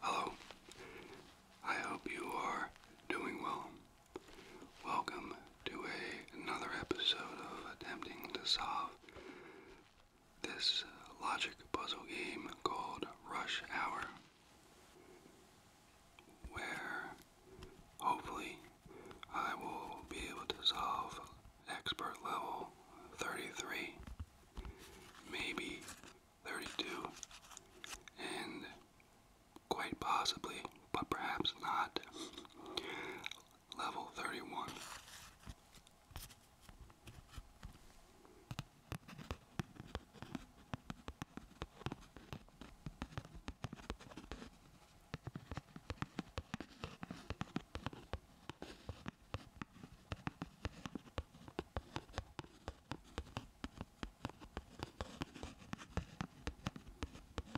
Hello. I hope you are doing well. Welcome to a, another episode of attempting to solve this uh, logic puzzle game called Rush Hour, where hopefully I will be able to solve expert level 33, maybe 32, and quite possibly, but perhaps not, level 31.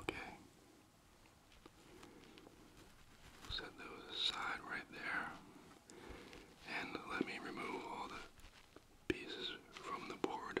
Okay. Set those aside right there. And let me remove all the pieces from the board.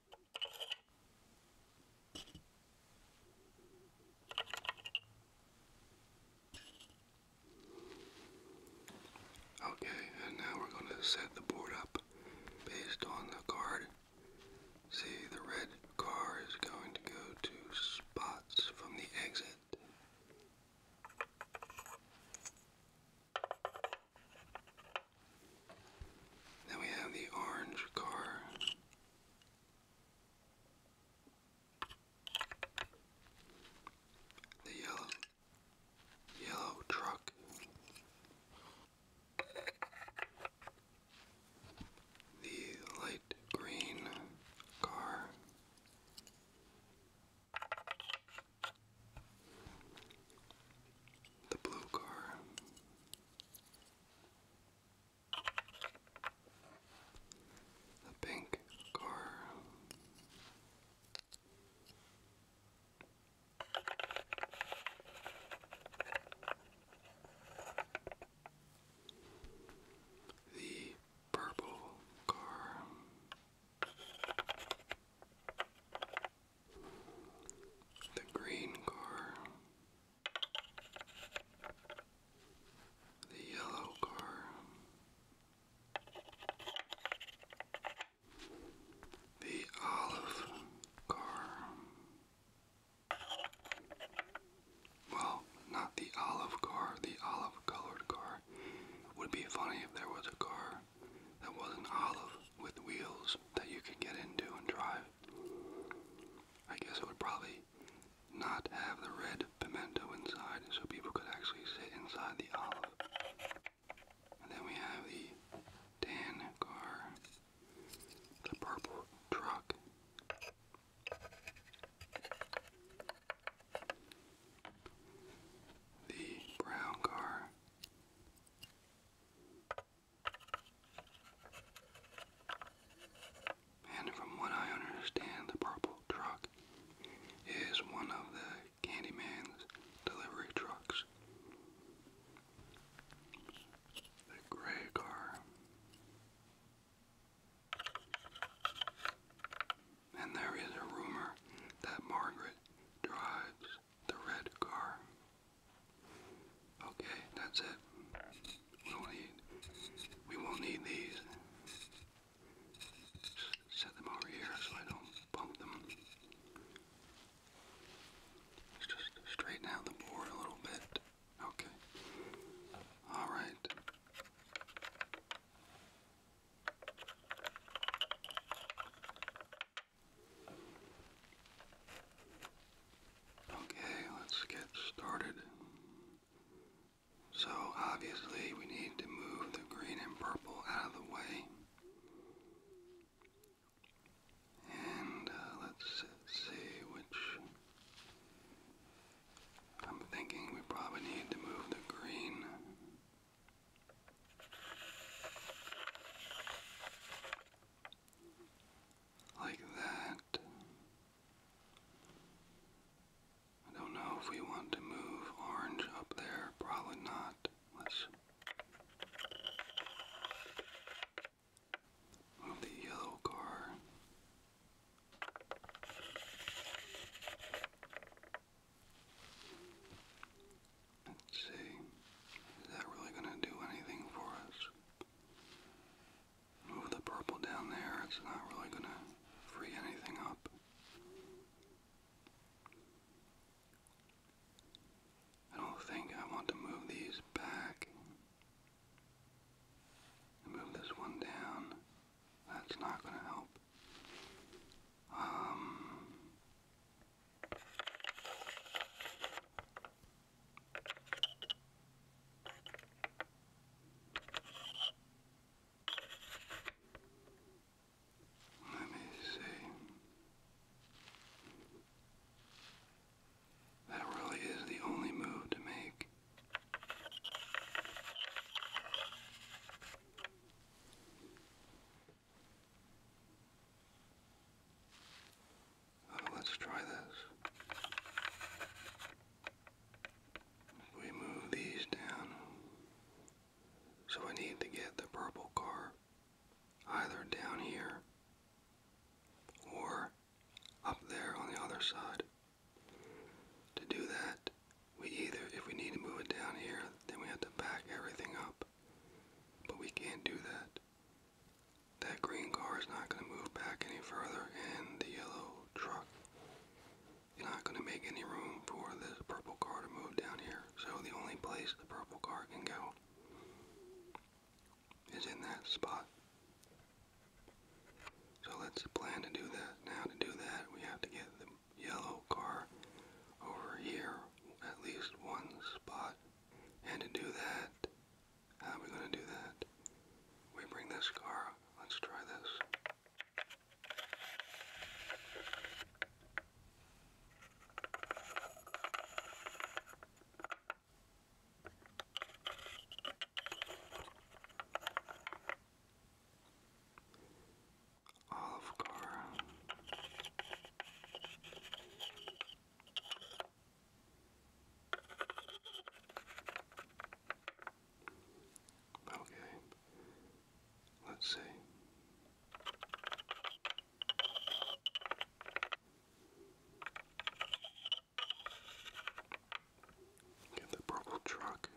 Okay, and now we're going to set the board up based on the card. See, the red car is going to go to spots from the exit. Then we have the orange car. The yellow yellow truck. The light green car. The blue car. The pink car. The purple car the green car, the yellow car, the olive car. Well, not the olive car, the olive colored car. It would be funny if there was a car that was an olive with wheels that you could get into and drive. I guess it would probably not have the red pimento inside so people could actually sit inside the olive. And then we have the tan car, the purple truck. The brown car, and from what I understand, the purple truck is one of the Candyman's delivery trucks. The gray car. And there is a rumor that Margaret drives the red car. Okay, that's it. We will need we won't need these. set them over here so I don't bump them. Let's just straighten out the board a little bit. Okay. Alright. Okay, let's get started. So obviously we need to move the green and purple out of the way. And uh, let's see which... I'm thinking we probably need to move the green like that. I don't know if we want to move orange up there. Probably not. Let's move the yellow car. Let's see. Is that really going to do anything for us? Move the purple down there. It's not really going to free anything up. I don't think I want to move these back. Move this one down. That's not going to help. Um, let me see. That really is the only move to make. Oh, let's try this. We move these down. So I need to get the purple car either down here or up there on the other side. To do that, we either, if we need to move it down here, then we have to back everything up. But we can't do that. That green car is not going to move back any further, and the yellow truck is not going to make any room for this purple car to move down here. So the only place the purple car can go is in that spot. So let's plan to do that. Now to do that, we have to get the yellow car over here at least one spot. And to do that, how are we going to do that? We bring this car. Let's try this olive car. Okay, let's see. the purple truck.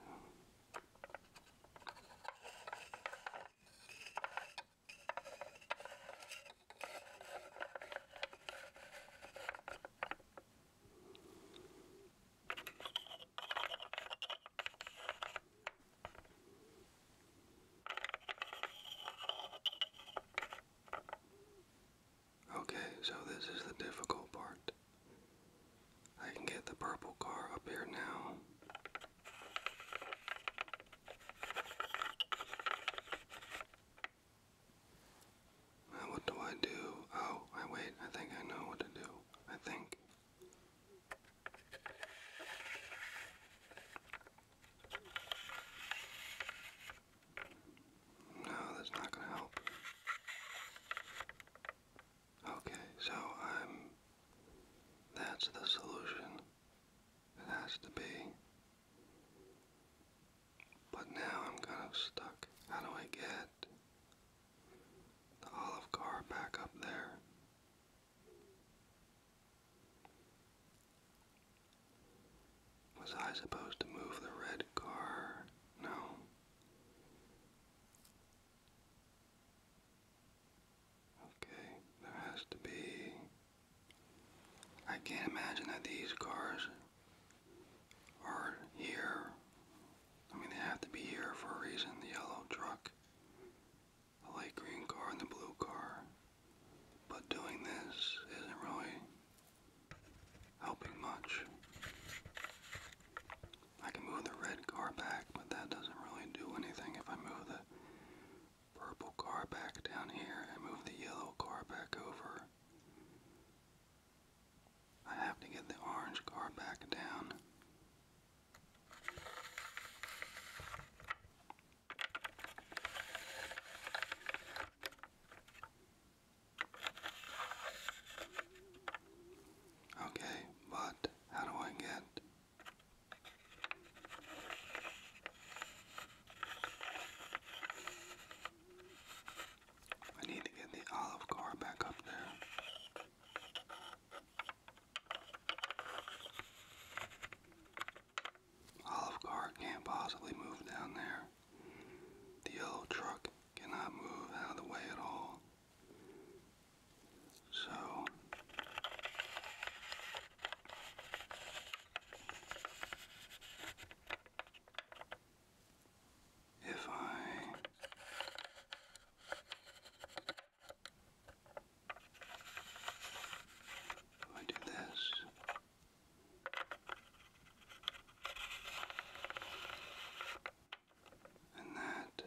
Okay, so this is the difficult part. I can get the purple car up here now. What do I do? Oh, I wait. I think I know what to do. I think. No, that's not going to help. Okay, so I'm. That's the solution. It has to be. But now I'm kind of stuck. How do I get the olive car back up there? Was I supposed to move the red car? No. Okay, there has to be. I can't imagine that these cars are here. I mean, they have to be here for a reason. The yellow truck, the light green car, and the blue car. But doing this isn't really helping much. I can move the red car back, but that doesn't really do anything if I move the purple car back down here and move the yellow car back over. I have to get the orange car back down. Okay, but how do I get I need to get the olive car back up there. Olive car can't possibly move down there. The yellow truck cannot move out of the way at all. So if I do this, and that,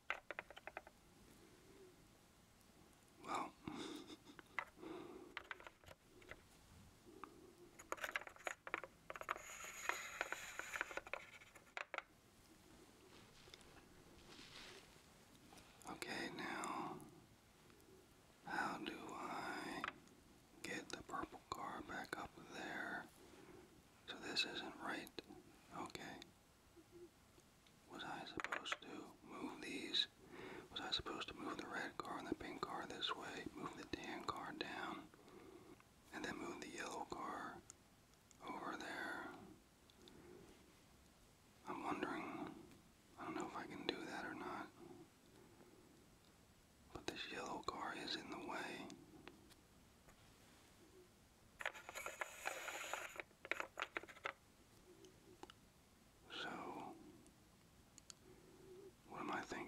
well. Okay, now, how do I get the purple car back up there? So this isn't right. Okay. Was I supposed to move these? Was I supposed to move the red car and the pink car this way, move the tan car down, and then move the yellow car over there? I'm wondering. I don't know if I can do that or not. But this yellow car is in the way. So, what am I thinking?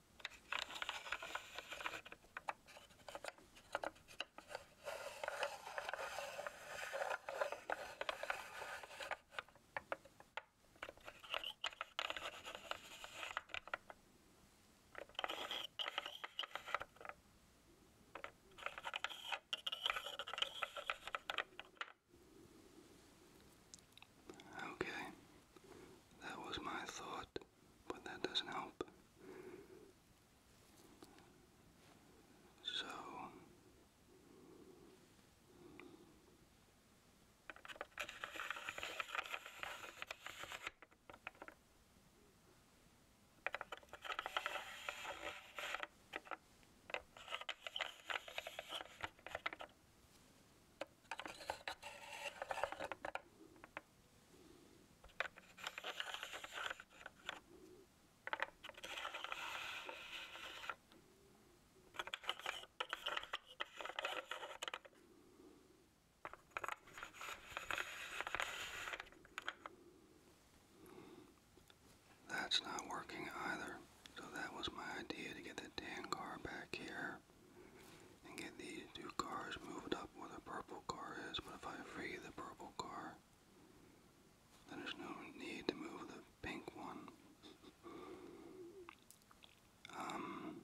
Okay, that was my thought but that doesn't help. So that's not working either, so that was my idea to get the tan car back here and get these two cars moved up where the purple car is. But if I free the purple car, then there's no need to move the pink one. Um,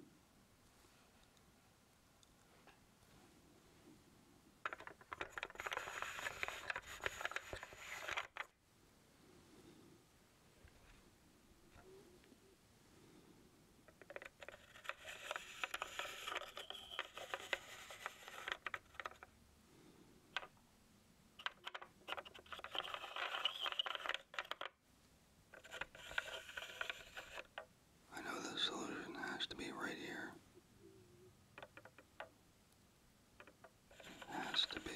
I know the solution has to be right here. has to be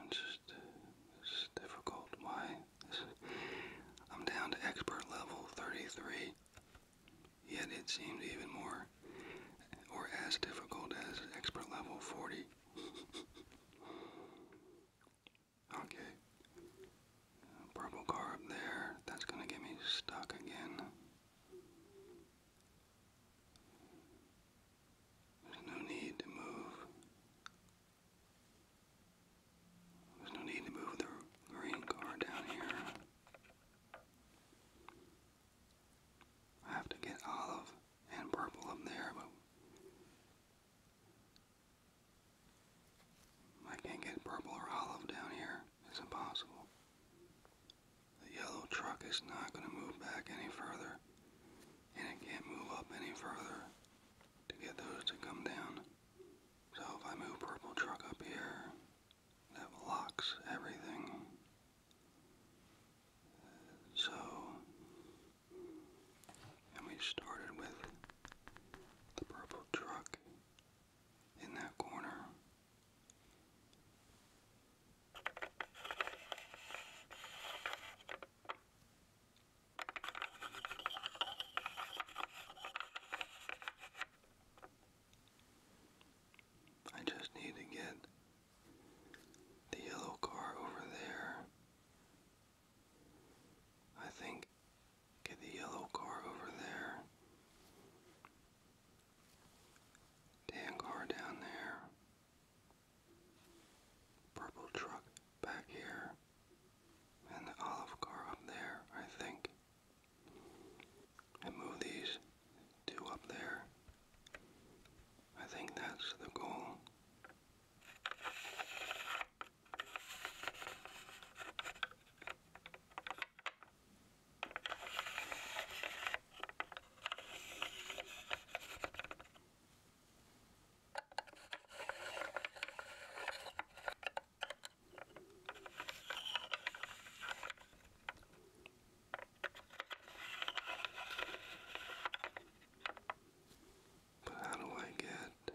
and just, this difficult. Why? I'm down to expert level 33, yet it seems even more or as difficult as expert level 40. okay. Purple car up there. That's going to get me stuck again. There's no need to move. There's no need to move the green car down here. I have to get olive and purple up there, but I can't get purple or olive down here. It's impossible. The yellow truck is not going to move back any further, and it can't move up any further to get those to come down. So if I move purple truck up here, that locks everything. So, and we started with the purple truck in that corner. I just need to get the yellow car over there. I think get the yellow car over there. Dan car down there. Purple truck back here and the olive car up there, I think. And move these two up there. I think that's the goal. But how do I get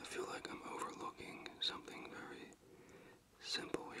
I feel like I'm overlooking something very simple here.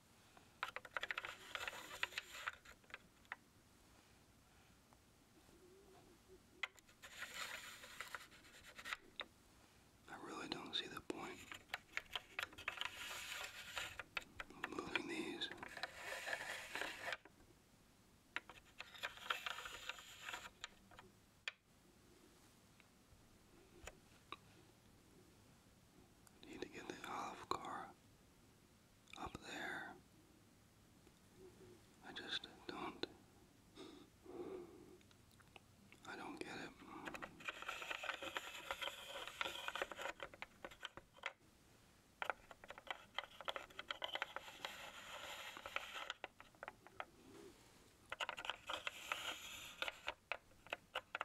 I really don't see the point of moving these. Need to get the olive car up there. I just don't. I don't get it.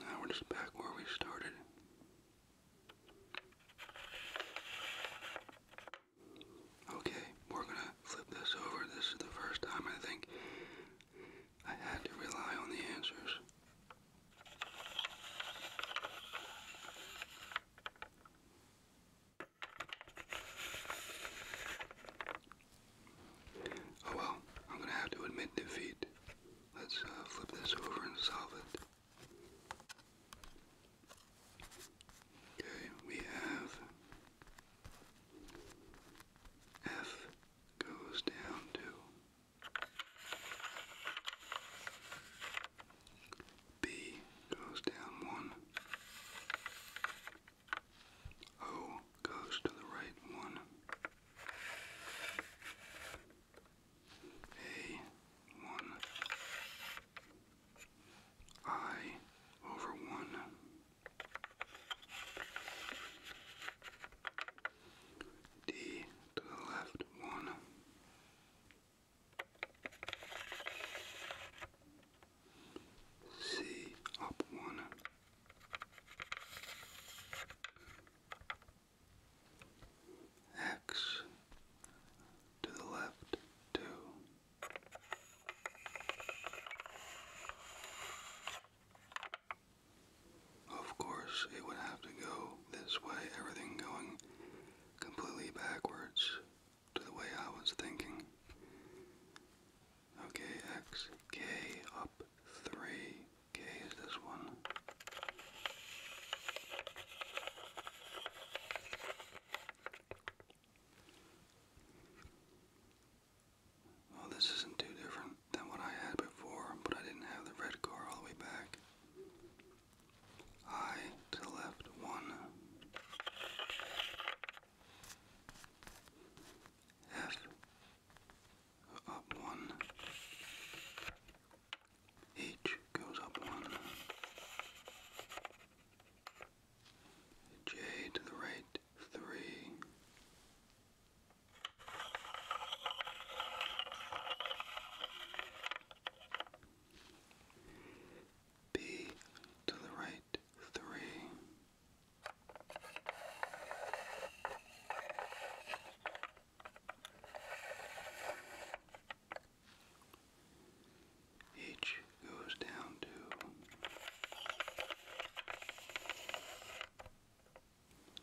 Now we're just back where we started. Okay, we're gonna flip this over. This is the first time I think I had to rely on the answers. Oh well, I'm gonna have to admit defeat. Let's uh, flip this over and solve it. Okay, we have F goes down to B goes down one. O goes to the right one. A one. I over one. D to the left, one. C up one. X to the left, two. Of course, it would have to go this way, everything going completely backwards to the way I was thinking. Okay, X, K up 3, K is this one. Oh, this isn't too different than what I had before, but I didn't have the red car all the way back. I to left, one. F up one. H goes up one. J to the right, 3. B to the right, 3. H goes down to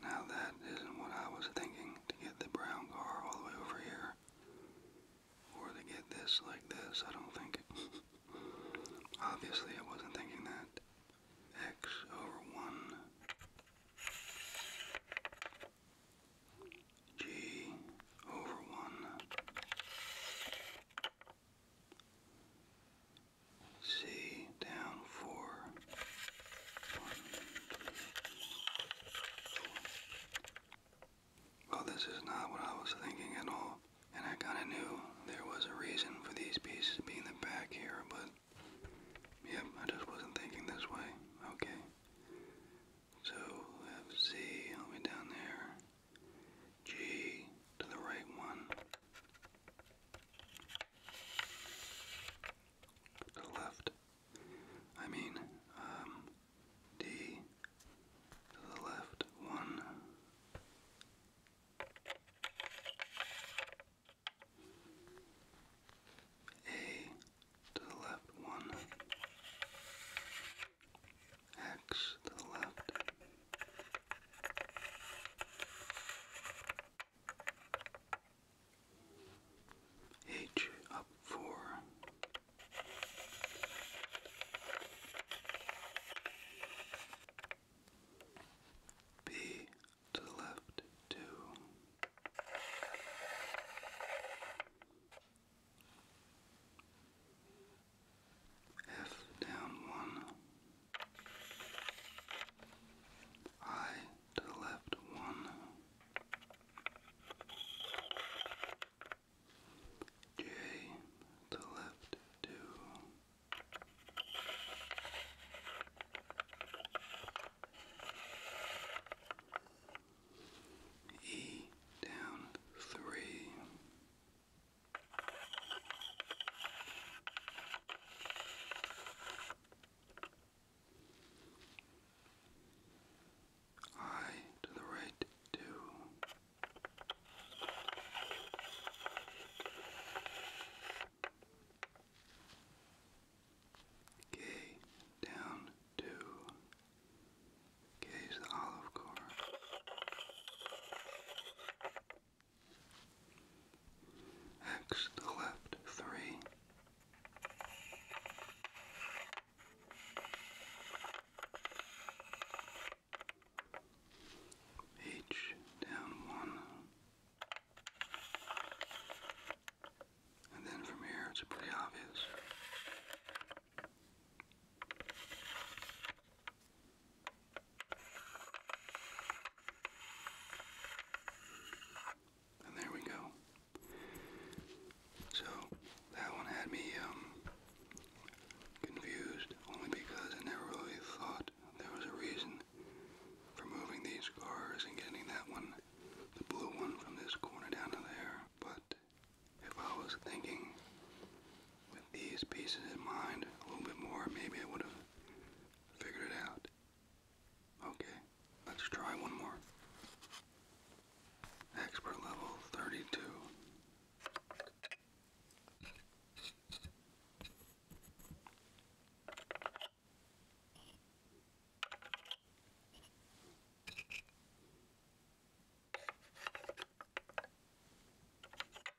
now that isn't what I was thinking to get the brown car all the way over here. Or to get this like this, I don't think. Obviously I wasn't thinking that. X over one G over one C down four. well, this is not what I was thinking at all, and I kind of knew there was a reason for these pieces being the back here, but yep, I just wasn't thinking this way. Okay, so we have C down there. G to the right one, to the left, I mean, um, D to the left one, A to the left one. X to the left. H up four. B to the left two. F down one. I to the left one. J to the left two. E down three. I to the right, too. K down two Gaze the olive core. X the left, three. H down one. And then from here it's pretty obvious. And there we go. So that one had me um, confused only because I never really thought there was a reason for moving these cars and getting that one, the blue one, from this corner down to there. But if I was thinking with these pieces in mind a little bit more, maybe I would have figured it out. Okay, let's try one more. Expert level 32.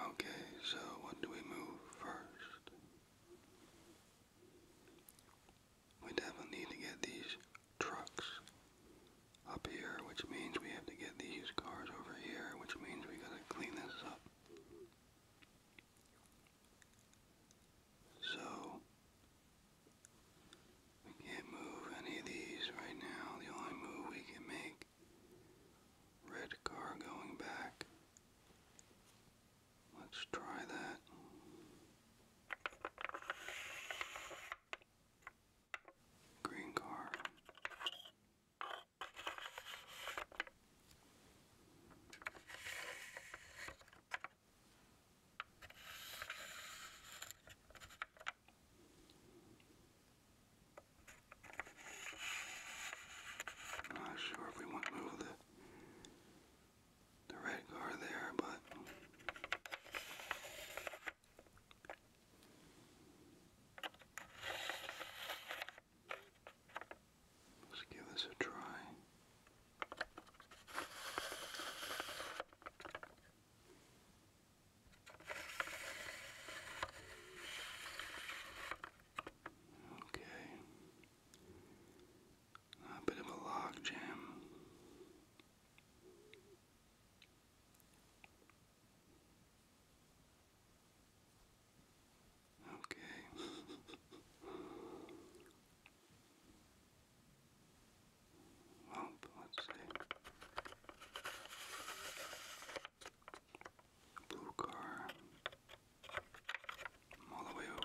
Okay, so what do we move first? We definitely need to get these trucks up here, which means we have to get these cars over here, which means we gotta clean this up. So, we can't move any of these right now. The only move we can make, red car going back. Let's try that. Green car. I'm not sure if we want to move the the red car there, but let's give this a try. Okay. A bit of a log jam. Okay. Well, let's see. Blue car. I'm all the way over.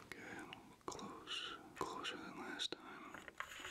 Okay, close, closer than last time. Okay.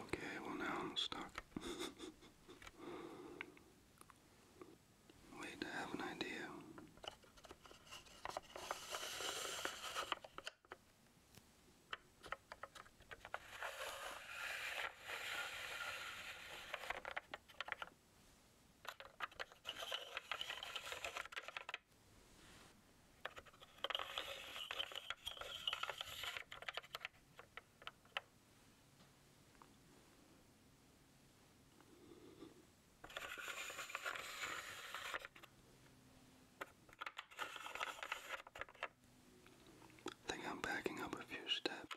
Okay, well now I'm stuck. Wait, I have an idea. I think I'm backing up a few steps.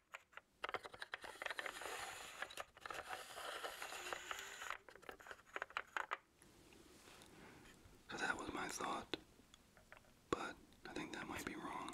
So that was my thought, but I think that might be wrong.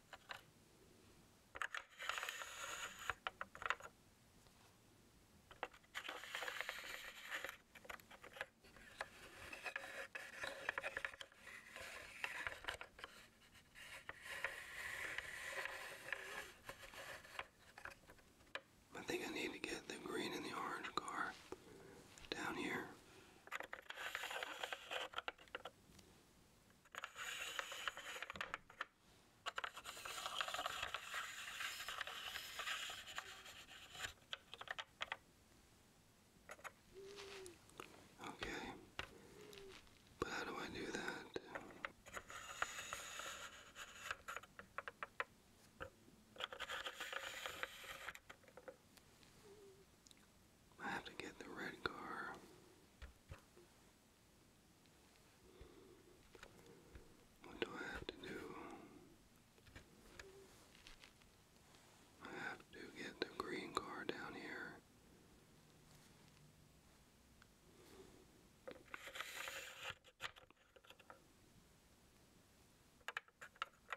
I think I need to get the green and the orange car down here. Okay, but how do I do that? I have to get the red car. What do I have to do? I have to get the green car down here.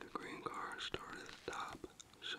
The green car started at the top, so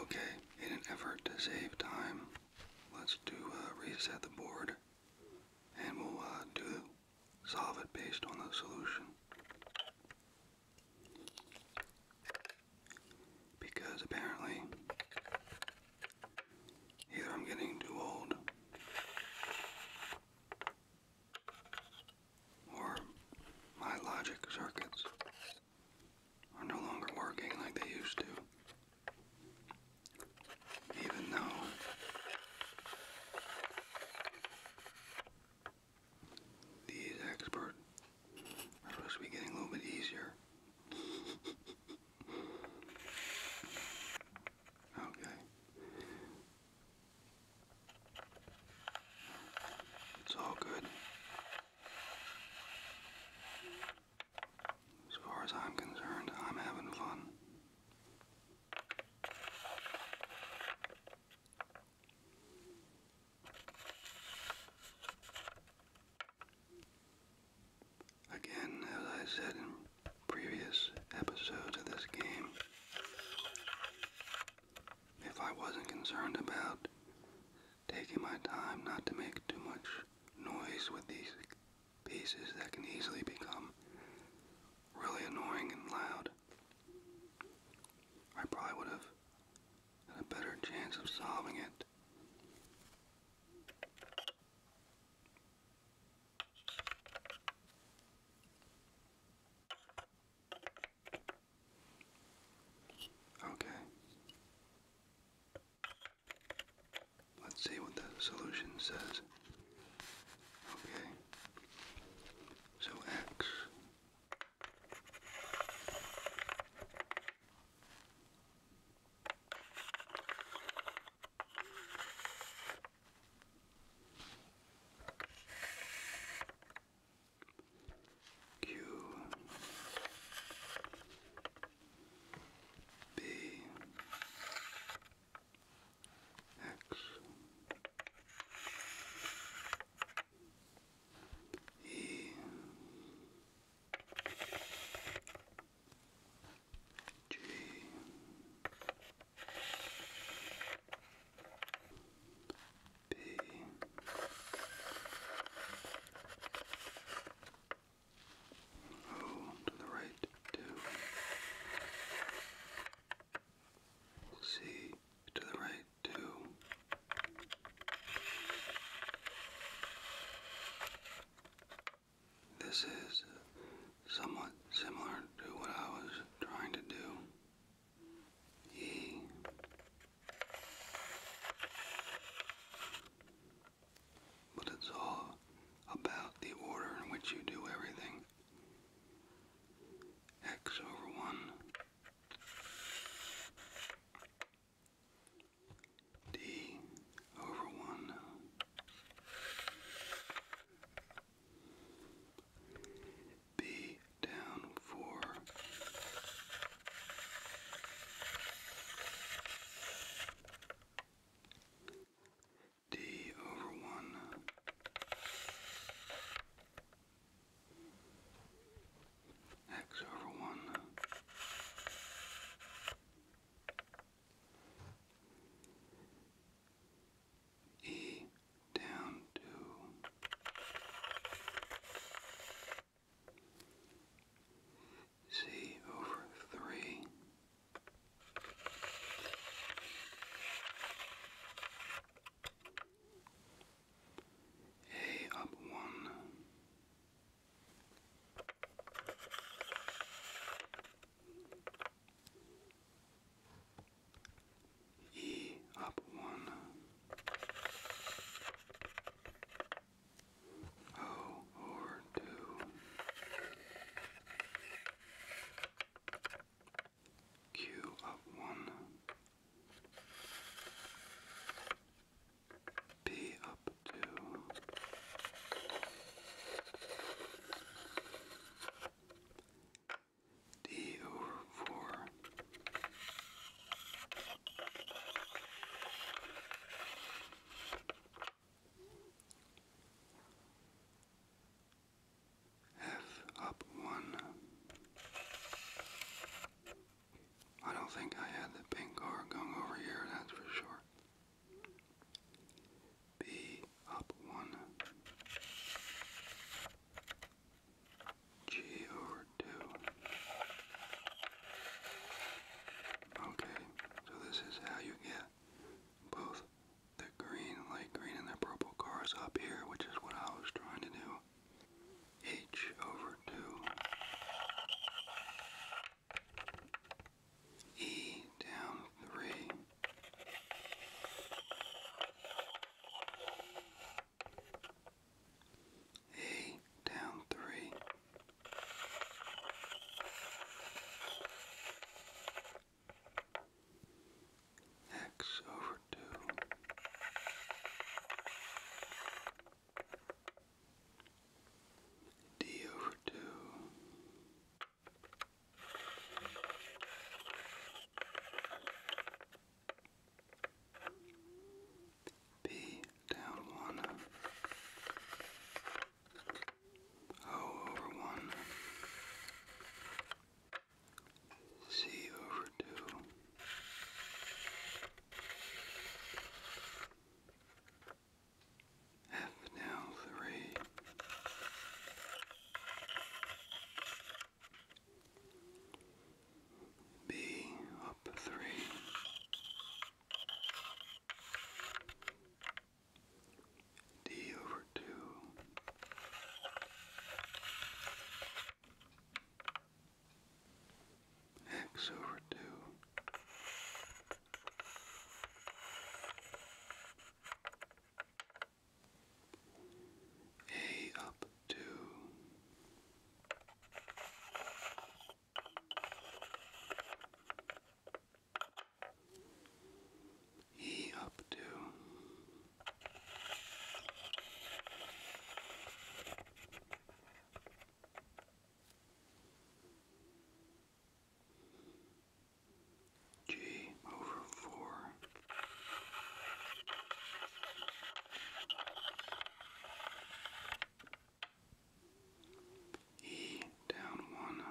Okay, in an effort to save time, let's do reset the board and we'll uh, do solve it based on the solution. Because apparently, either I'm getting too old, or my logic circuits are no longer working like they used to. Even though these expert it's supposed to be getting a little bit easier. okay. It's all good. As far as I'm concerned, I'm having fun. Again, as I said in previous episodes of this game, if I wasn't concerned about taking my time not to make too much noise with these pieces that can easily become really annoying and loud, I probably would have and a better chance of solving it. Okay. Let's see what the solution says. Okay. So x Q B X E G B O to the right two C to the right two this is uh, somewhat similar to what I was trying to do. E. But it's all about the order in which you do everything. X over 1 D over one. B down four. D over one x over 1 e down to c over 3 a up 1 E up one, O or two, Q up one, be up to D over four F up one I don't think I had the pink car going over here, that's for sure. B up one. G over two. Okay, so this is how you get both the green, light green, and the purple cars up here, which is what I was trying to do h over 2 e down 3 a down 3 X over 2 D over two. B down one. over one. C over two. F down three. B up three. D over two x over 2 a up 2 E up two G over four. E down one.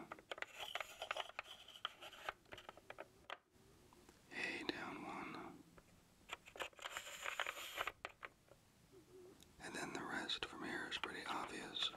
A down one. And then the rest from here is pretty obvious.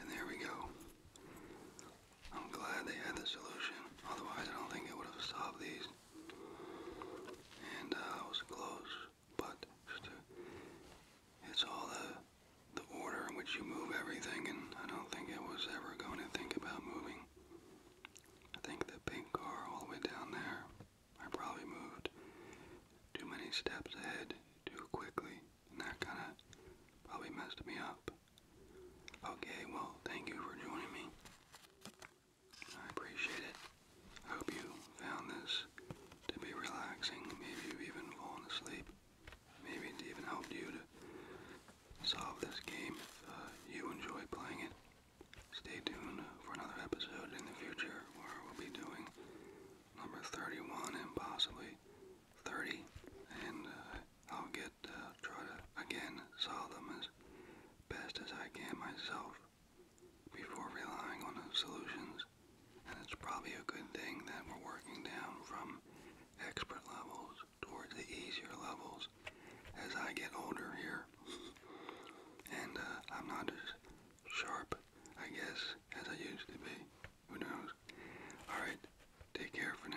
And there we go. I'm glad they had the solution. Otherwise, I don't think it would have solved these. And uh, I was close, but it's all the the order in which you move everything. And I don't think it was ever going to think about moving. I think the pink car all the way down there. I probably moved too many steps ahead too quickly, and that kind of probably messed me up. Okay, well, thank you for joining me. I appreciate it. I hope you found this to be relaxing. Maybe you've even fallen asleep. Maybe it's even helped you to solve this game uh, you enjoy playing it. Stay tuned for another episode in the future where we'll be doing number 31 and possibly 30, and uh, I'll get uh, try to again solve them as best as I can myself before relying on solutions. And it's probably a good thing that we're working down from expert levels towards the easier levels as I get older here. and uh, I'm not just sharp, I guess, as I used to be. Who knows? Alright, take care for now.